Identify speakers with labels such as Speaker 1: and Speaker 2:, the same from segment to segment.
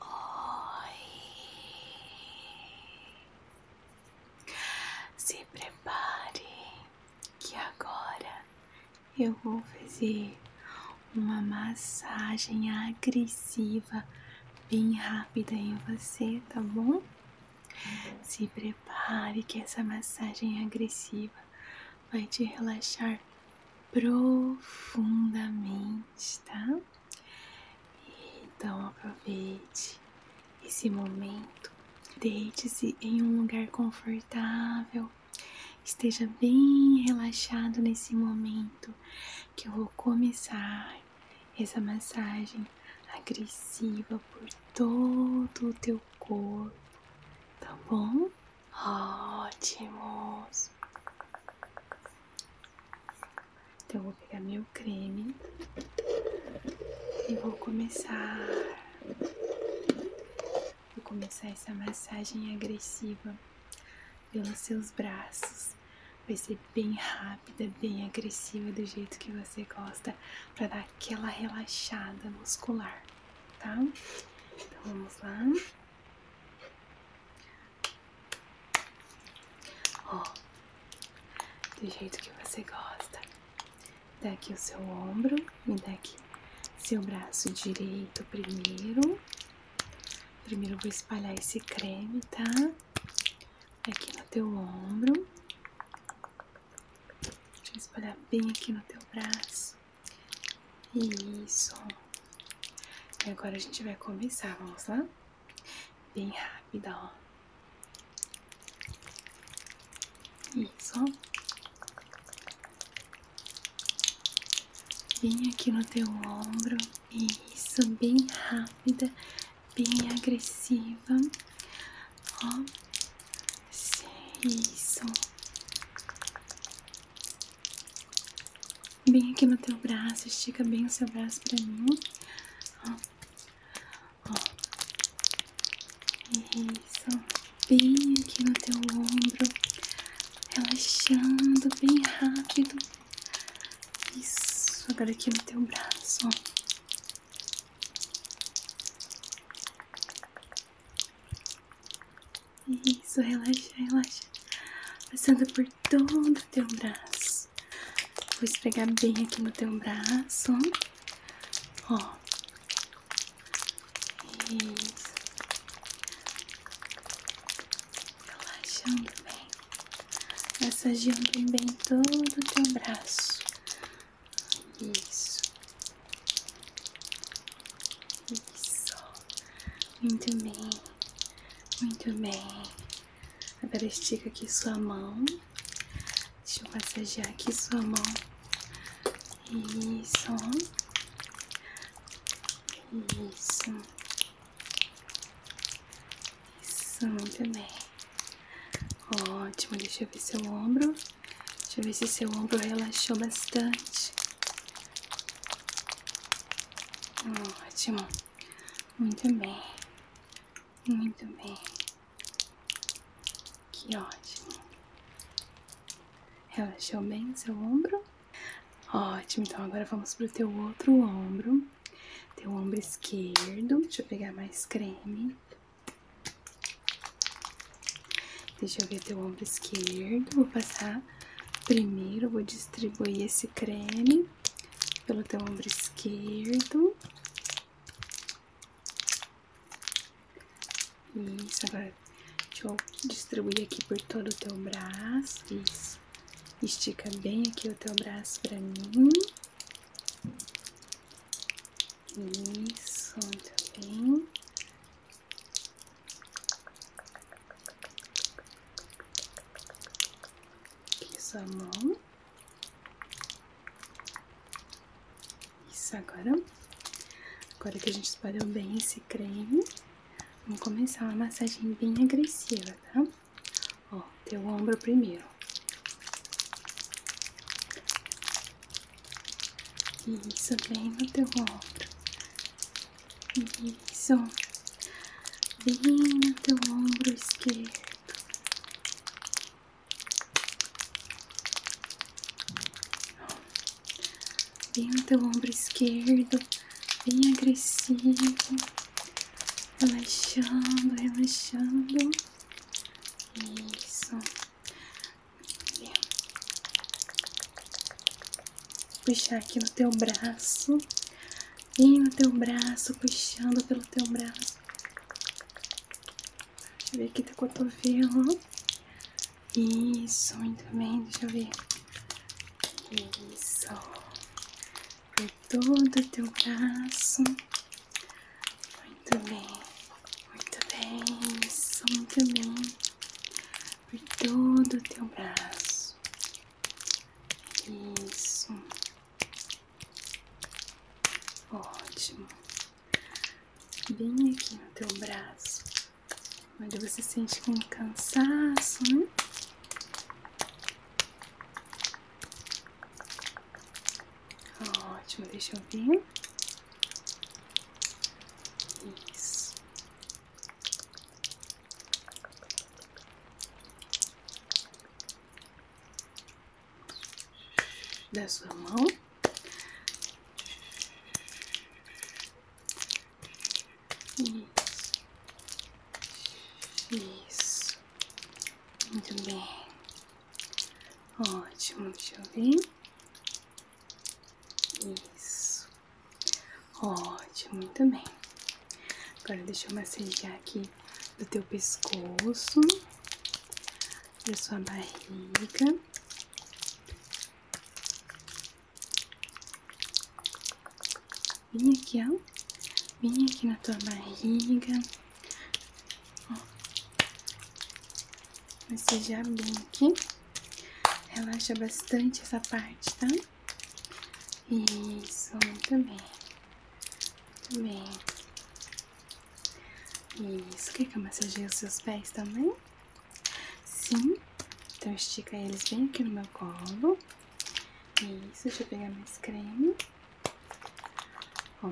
Speaker 1: Oi. Se prepare que agora eu vou fazer uma massagem agressiva bem rápida em você, tá bom? Se prepare que essa massagem agressiva vai te relaxar profundamente, tá? Então aproveite esse momento, deite-se em um lugar confortável, esteja bem relaxado nesse momento que eu vou começar essa massagem agressiva por todo o teu corpo, tá bom? Ótimos! Então, eu vou pegar meu creme e vou começar. Vou começar essa massagem agressiva pelos seus braços. Vai ser bem rápida, bem agressiva, do jeito que você gosta, para dar aquela relaxada muscular, tá? Então vamos lá. Ó, do jeito que você gosta. Daqui o seu ombro, me daqui seu braço direito primeiro. Primeiro vou espalhar esse creme, tá? Aqui no teu ombro. Deixa eu espalhar bem aqui no teu braço. Isso. E agora a gente vai começar, vamos lá? Bem rápida, ó. Isso, Bem aqui no teu ombro. Isso, bem rápida, bem agressiva. Ó. Isso. Bem aqui no teu braço, estica bem o seu braço pra mim. Ó. Ó. Isso. Bem aqui no teu ombro. Relaxando bem rápido. Isso. Agora aqui no teu braço, ó. Isso, relaxa, relaxa. Passando por todo o teu braço. Vou esfregar bem aqui no teu braço. Ó. Isso. Relaxando bem. Massageando bem todo o teu braço. Isso. Isso. Muito bem, muito bem. Agora estica aqui sua mão. Deixa eu massagear aqui sua mão. Isso. Isso. Isso, muito bem. Ótimo, deixa eu ver seu ombro. Deixa eu ver se seu ombro relaxou bastante. Ótimo. Muito bem. Muito bem. Que ótimo. Relaxou bem seu ombro? Ótimo, então agora vamos pro teu outro ombro. Teu ombro esquerdo. Deixa eu pegar mais creme. Deixa eu ver teu ombro esquerdo. Vou passar Primeiro, vou distribuir esse creme pelo teu ombro esquerdo. Isso, agora deixa eu distribuir aqui por todo o teu braço. Isso. Estica bem aqui o teu braço pra mim. Isso, muito bem. Isso a mão. Isso, agora. Agora que a gente espalhou bem esse creme, vamos começar uma massagem bem agressiva, tá? Ó, teu ombro primeiro. Isso, bem no teu ombro. Isso. Bem no teu ombro esquerdo. Bem no teu ombro esquerdo. Bem agressivo. Relaxando, relaxando. Isso puxar aqui no teu braço, e no teu braço, puxando pelo teu braço. Deixa eu ver aqui teu tá cotovelo. Isso, muito bem, deixa eu ver. Isso. Por todo o teu braço. Muito bem, muito bem, isso, muito bem por todo o teu braço. Isso. Ótimo. Bem aqui no teu braço. Onde você sente um cansaço, né? Ótimo, deixa eu ver. Isso da sua mão. Isso. Isso. Muito bem. Ótimo, deixa eu ver. Isso. Ótimo, muito bem. Agora deixa eu massagear aqui do teu pescoço, da sua barriga. Vem aqui, ó. Vem aqui na tua barriga. Ó massagear bem aqui. Relaxa bastante essa parte, tá? Isso, muito bem. Muito bem. Isso, quer que eu massageie os seus pés também? Sim. Então estica eles bem aqui no meu colo. Isso, deixa eu pegar mais creme. Ó.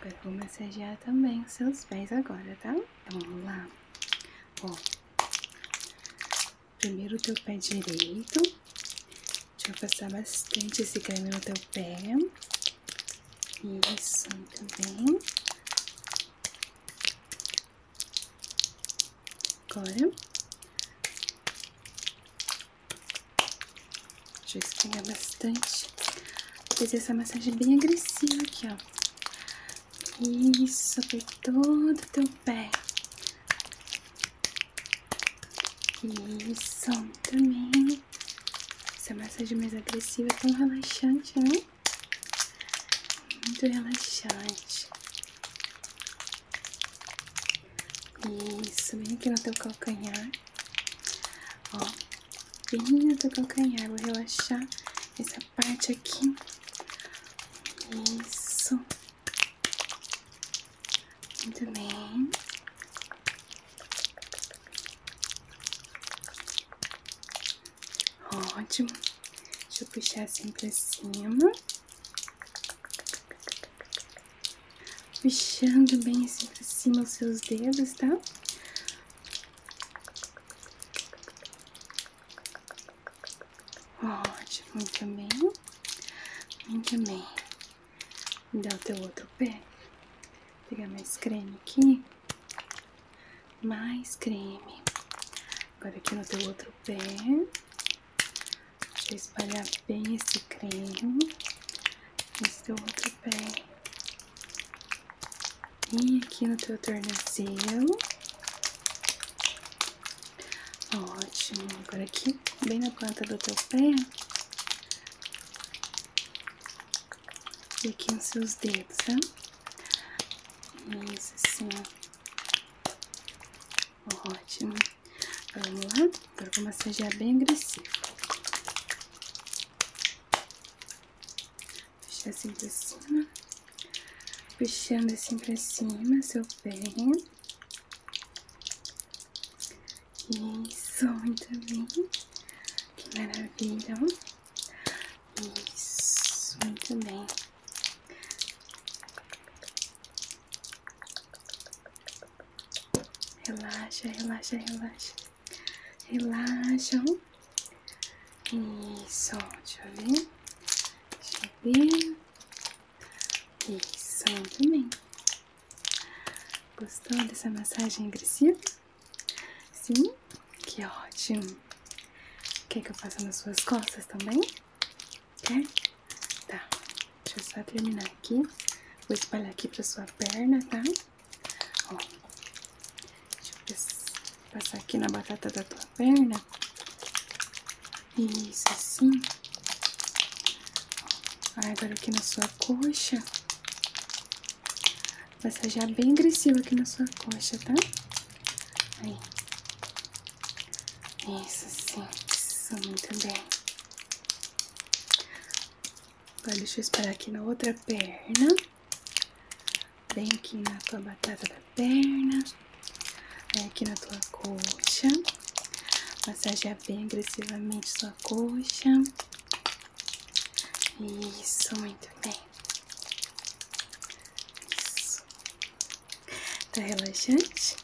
Speaker 1: Agora vou massagear também os seus pés agora, tá? Então vamos lá. Ó, primeiro o teu pé direito. Deixa eu passar bastante esse creme no teu pé. Isso, muito bem. Agora. Deixa eu esfregar bastante. Vou fazer essa massagem bem agressiva aqui, ó. Isso, por todo teu pé. Isso, também. Essa massagem mais agressiva é tão relaxante, né? Muito relaxante. Isso, bem aqui no teu calcanhar. Ó, bem no teu calcanhar. Vou relaxar essa parte aqui. Isso. Muito bem. Ótimo. Deixa eu puxar assim pra cima. Puxando bem assim pra cima os seus dedos, tá? Ótimo, muito bem. Muito bem. dá o teu outro pé. Vou pegar mais creme aqui. Mais creme. Agora aqui no teu outro pé. Deixa eu espalhar bem esse creme. Esse teu outro pé. E aqui no teu tornozelo. Ótimo. Agora aqui, bem na ponta do teu pé. E aqui nos seus dedos, tá? Isso, assim, ó. Ótimo. Vamos lá? Agora vou massagear bem agressivo assim pra cima. Puxando assim pra cima, seu pé. Isso, muito bem. Que maravilha. Isso, muito bem. Relaxa, relaxa, relaxa relaxam. Isso, deixa eu ver. Deixa eu ver. Isso, também. Gostou dessa massagem agressiva? Sim? Que ótimo. Quer que eu faça nas suas costas também? Quer? Tá. Deixa eu só terminar aqui. Vou espalhar aqui pra sua perna, tá? Ó, deixa eu passar aqui na batata da tua perna. Isso, assim. agora aqui na sua coxa. Massagear bem agressivo aqui na sua coxa, tá? Aí. Isso, sim. Isso, muito bem. Agora deixa eu esperar aqui na outra perna. Vem aqui na tua batata da perna. Vem aqui na tua coxa. Massagear bem agressivamente sua coxa. Isso, muito bem. Isso. Tá relaxante?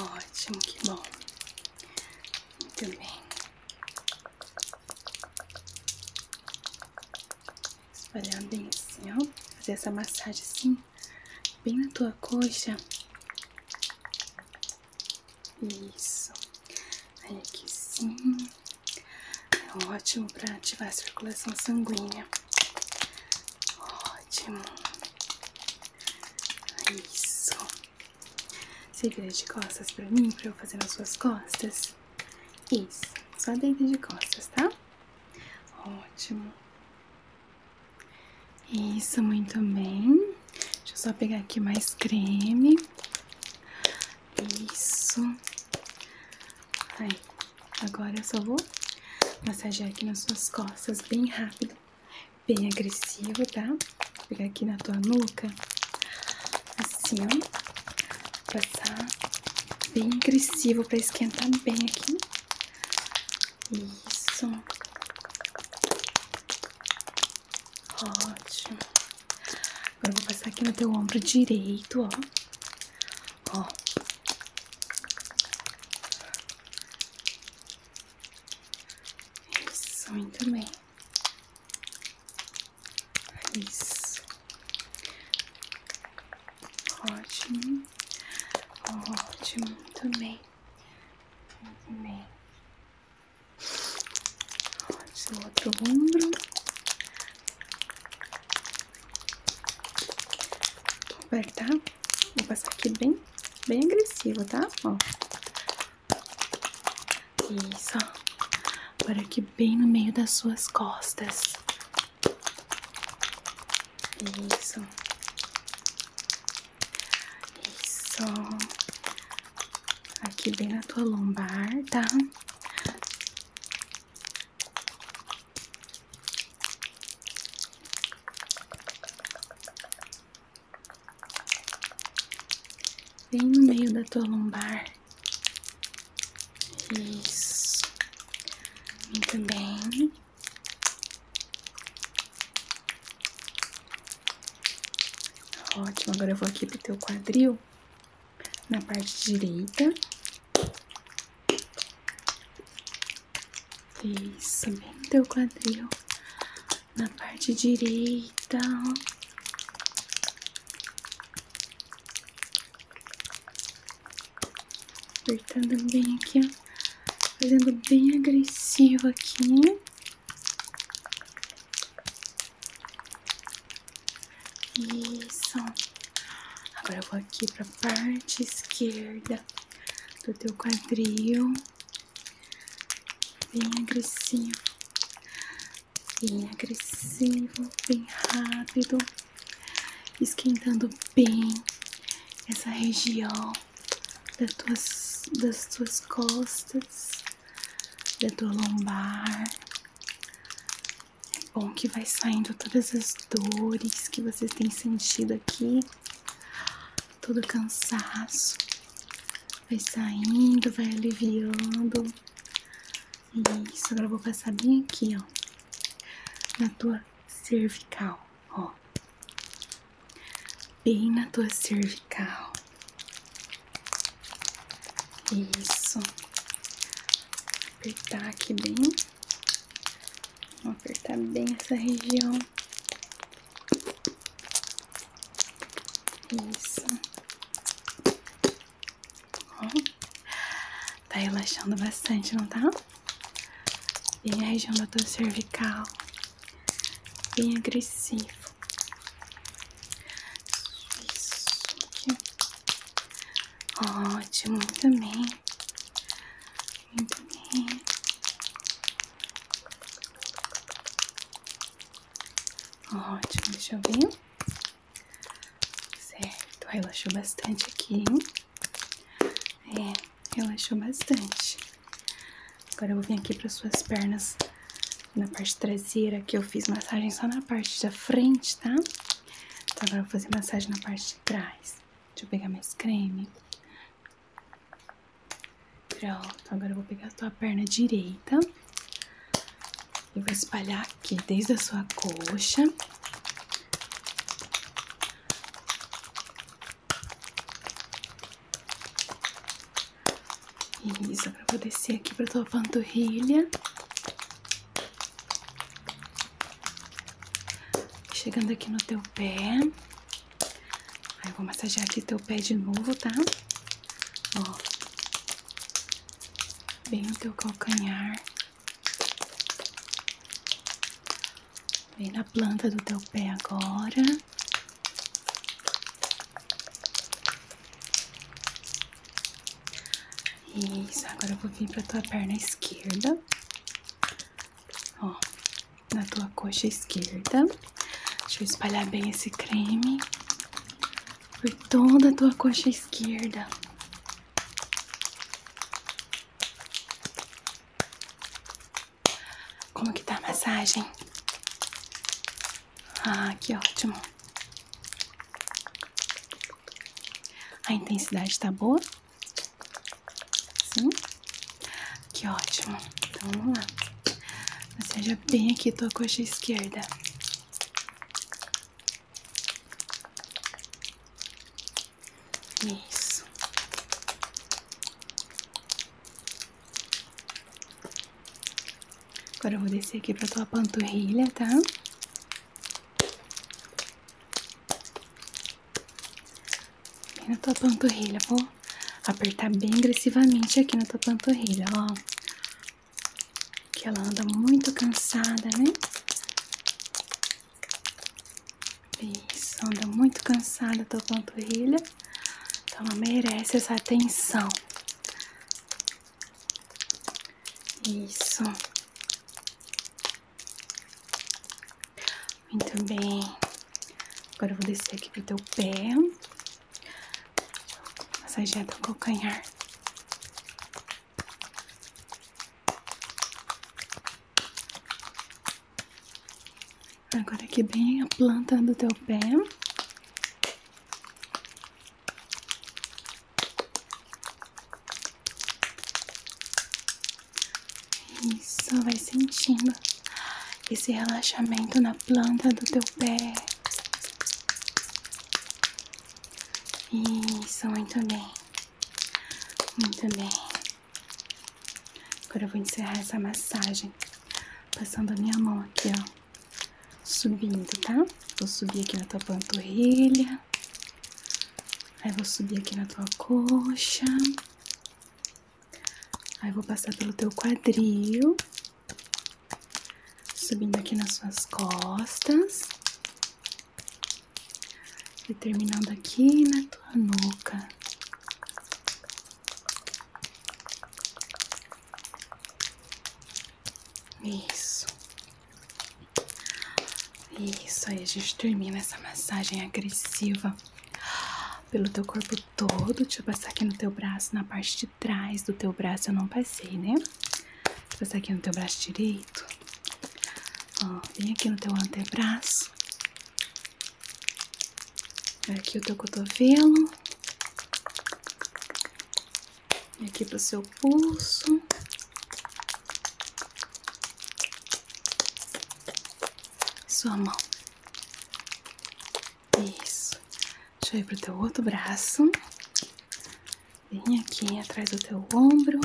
Speaker 1: Ótimo, que bom. Muito bem. Espalhando em cima, assim, Fazer essa massagem assim, bem na tua coxa. Isso. Aí aqui sim. É ótimo para ativar a circulação sanguínea. Ótimo. Isso. Você vira de costas para mim, para eu fazer nas suas costas. Isso, só dentro de costas, tá? Ótimo. Isso, muito bem. Deixa eu só pegar aqui mais creme. Isso. Aí, agora eu só vou massagear aqui nas suas costas bem rápido, bem agressivo, tá? Vou pegar aqui na tua nuca, assim, ó. Passar tá bem agressivo pra esquentar bem aqui. Isso. Ótimo. Agora eu vou passar aqui no teu ombro direito, ó. Ó. Isso, muito bem. Isso. Ótimo. Ótimo. também, também, Muito bem. Ótimo. Outro ombro. Vou tá, Vou passar aqui bem, bem agressivo, tá? Ó. Isso. Agora aqui bem no meio das suas costas. Isso. Isso. Aqui bem na tua lombar, tá? Bem no meio da tua lombar. Isso. Muito bem. Ótimo, agora eu vou aqui pro teu quadril, na parte direita. Isso, bem no teu quadril na parte direita. Apertando bem aqui, Fazendo bem agressivo aqui. Isso. Agora vou aqui para a parte esquerda do teu quadril. Bem agressivo bem agressivo, bem rápido, esquentando bem essa região das tuas, costas, da tua lombar. É bom que vai saindo todas as dores que vocês têm sentido aqui, todo cansaço vai saindo, vai aliviando. Isso, agora eu vou passar bem aqui, ó, na tua cervical, ó, bem na tua cervical. Isso, apertar aqui bem, vou apertar bem essa região. Isso. Tá relaxando bastante, não tá? Bem a região do tua cervical. Bem agressivo. Isso aqui. Ótimo, muito bem. Muito bem. Ótimo, deixa eu ver. Certo, relaxou bastante aqui, hein? É, relaxou bastante. Agora eu vou vir aqui para suas pernas na parte traseira, que eu fiz massagem só na parte da frente, tá? Então agora eu vou fazer massagem na parte de trás. Deixa eu pegar mais creme. Pronto, agora eu vou pegar a tua perna direita e vou espalhar aqui desde a sua coxa. Isso, agora eu vou descer aqui pra tua panturrilha. Chegando aqui no teu pé. Aí eu vou massagear aqui teu pé de novo, Tá? ó, bem no teu calcanhar, vem na planta do teu pé agora. Isso, agora eu vou vir pra tua perna esquerda, ó, na tua coxa esquerda. Deixa eu espalhar bem esse creme por toda a tua coxa esquerda. Como que tá a massagem? Ah, que ótimo. A intensidade tá boa? Sim? Que ótimo. Então vamos lá. Você já bem aqui tua coxa esquerda. Isso. Agora eu vou descer aqui pra tua panturrilha, tá? Bem na tua panturrilha, vou apertar bem agressivamente aqui na tua panturrilha, ó. Que ela anda muito cansada, né? Isso, anda muito cansada a tua panturrilha. Então ela merece essa atenção. Isso. Muito bem. Agora eu vou descer aqui pro teu pé. Massageia teu tá calcanhar. Agora aqui bem a planta do teu pé. Isso, vai sentindo esse relaxamento na planta do teu pé. Isso, muito bem. Muito bem. Agora eu vou encerrar essa massagem passando a minha mão aqui, ó. Subindo, tá? Vou subir aqui na tua panturrilha. Aí vou subir aqui na tua coxa. Aí vou passar pelo teu quadril, subindo aqui nas suas costas e terminando aqui na tua nuca. Isso. Isso aí, a gente termina essa massagem agressiva pelo teu corpo todo. Deixa eu passar aqui no teu braço, na parte de trás do teu braço. Eu não passei, né? Vou passar aqui no teu braço direito. Ó, vem aqui no teu antebraço. Aqui o teu cotovelo. aqui para o seu pulso. Sua mão. Isso. Deixa eu ir pro teu outro braço. Vem aqui atrás do teu ombro.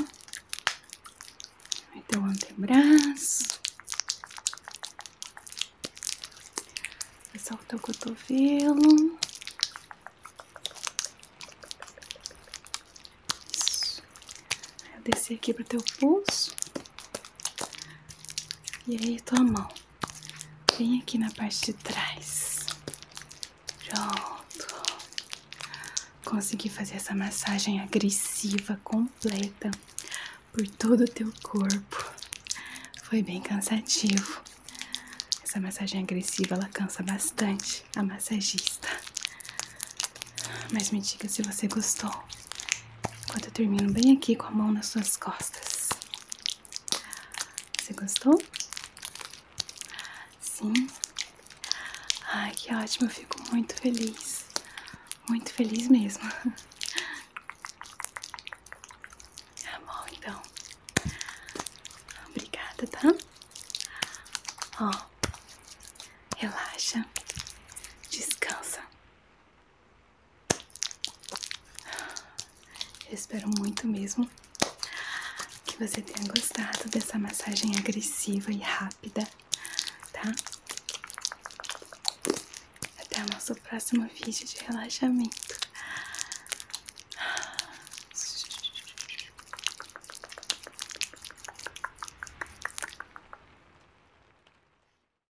Speaker 1: Vai teu antebraço. Passar o teu cotovelo. Isso. eu desci aqui para o teu pulso. E aí tua mão. Vem aqui na parte de trás. Pronto. Consegui fazer essa massagem agressiva completa por todo o teu corpo. Foi bem cansativo. Essa massagem agressiva ela cansa bastante a massagista. Mas me diga se você gostou. Enquanto eu termino bem aqui com a mão nas suas costas. Você gostou? Sim? Ai, que ótimo, eu fico muito feliz. Muito feliz mesmo. Tá bom, então. Obrigada, tá? Ó, relaxa, descansa espero muito mesmo que você tenha gostado dessa massagem agressiva e rápida, tá? Até o nosso próximo vídeo de relaxamento.